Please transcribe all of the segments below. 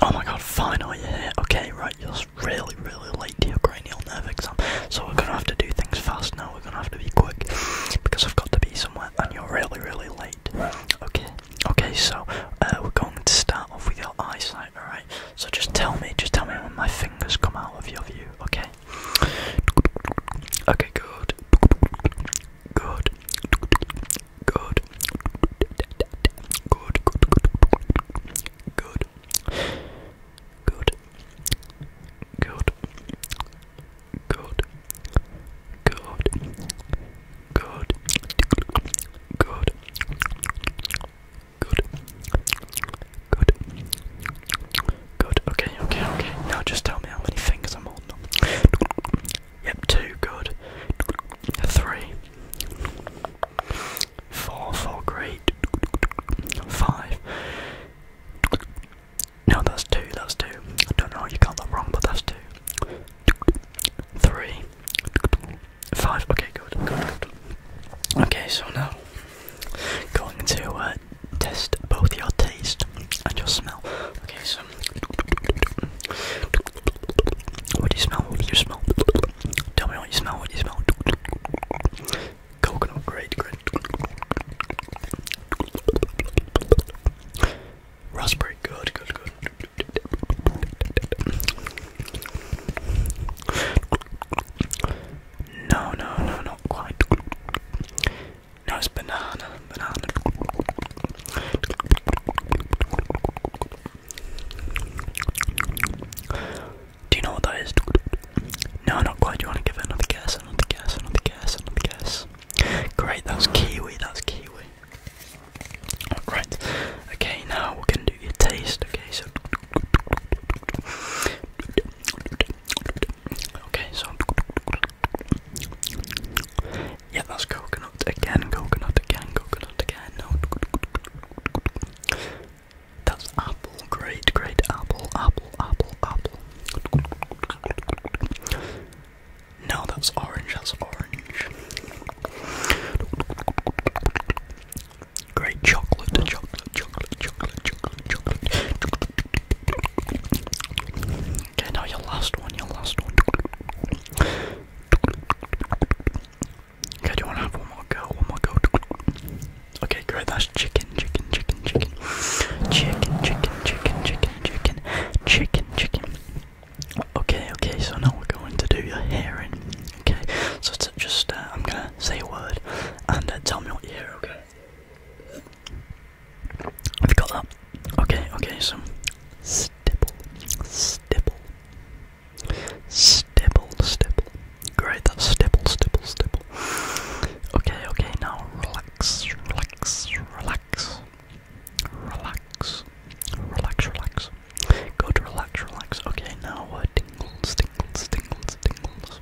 Oh my god, finally you here. Okay, right, you're really, really late to your cranial nerve exam. So we're gonna have to do things fast now, we're gonna have to be quick. Because I've got to be somewhere and you're really, really late. Okay, okay, so uh, we're going to start off with your eyesight, alright? So just tell me, just tell me when my fingers come out of your view, okay? Okay, good. Good. Good. Good. Good. Good. Good. Good. Good. Good. Good. Good. Good. Good. Good. Okay, okay, okay. Now just tell me how many fingers I'm holding. Yep, two, good. Three. great. Five. No, that's two, that's two. I don't know, you got that wrong, but that's two. Three. Five, okay, good, good, good. Okay, so now, going to uh, test both your taste and your smell. Okay, so what do you smell? What do you smell? Tell me what you smell. What do you smell? Coconut, great, great. Raspberry, good, good, good. No, no, no, not quite. No, it's banana, banana. Do you know what that is? No, not quite. Do you want to give it another guess? Another guess, another guess, another guess. Great, that's kiwi, that's kiwi. Right, okay, now we're going to do your taste, okay? So. Okay, so yeah, that's coconut again, coconut again, coconut again. No. That's apple, great, great apple, apple, apple, apple. No, that's orange, that's orange. Great chocolate, chocolate, chocolate, chocolate, chocolate, chocolate, Okay, now your last one, your last one. Okay, do you want to have one more go? One more go. Okay, great. That's chicken, chicken, chicken, chicken, chicken, chicken, chicken, chicken, chicken, chicken, chicken. Okay, okay. So now we're going to do your hearing. Okay, so to just uh, I'm gonna say a word and uh, tell me what you hear. Okay. We got that. Okay, okay, so stipple, stipple, stipple, stipple. Great, that's stipple, stipple, stipple. Okay, okay, now relax, relax, relax, relax, relax, relax. Good, relax, relax. Okay, now uh, tingles, tingles, tingles, tingles,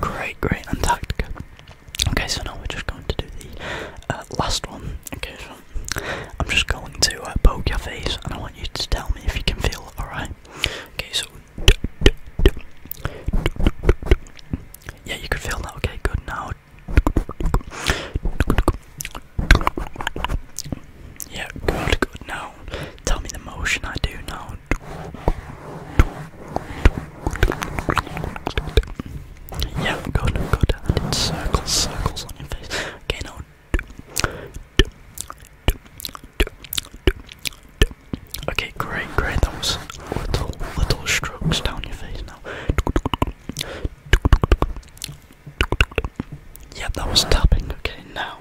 Great, great, and Antarctica. Okay, so now we're just going to do the uh, last one. Okay, so I'm just going to uh, poke your face, and I want you to tell me if you can feel All right. Okay, so yeah, you can feel that. Okay, good. Now, yeah, good, good. Now, tell me the motion I do know. Yeah, go down, go down. It's circles, circles on your face. Okay, now. Okay, great, great. That little, little strokes down your face now. Yep, that was tapping. Okay, now.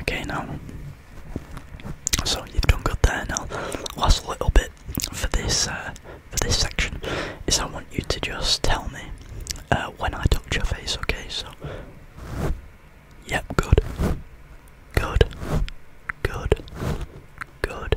Okay, now. So you've done good there. Now, last little bit for this uh, for this section is I want you to just tell me uh, when I touch your face. Okay, so. Yep, good. Good. Good. Good.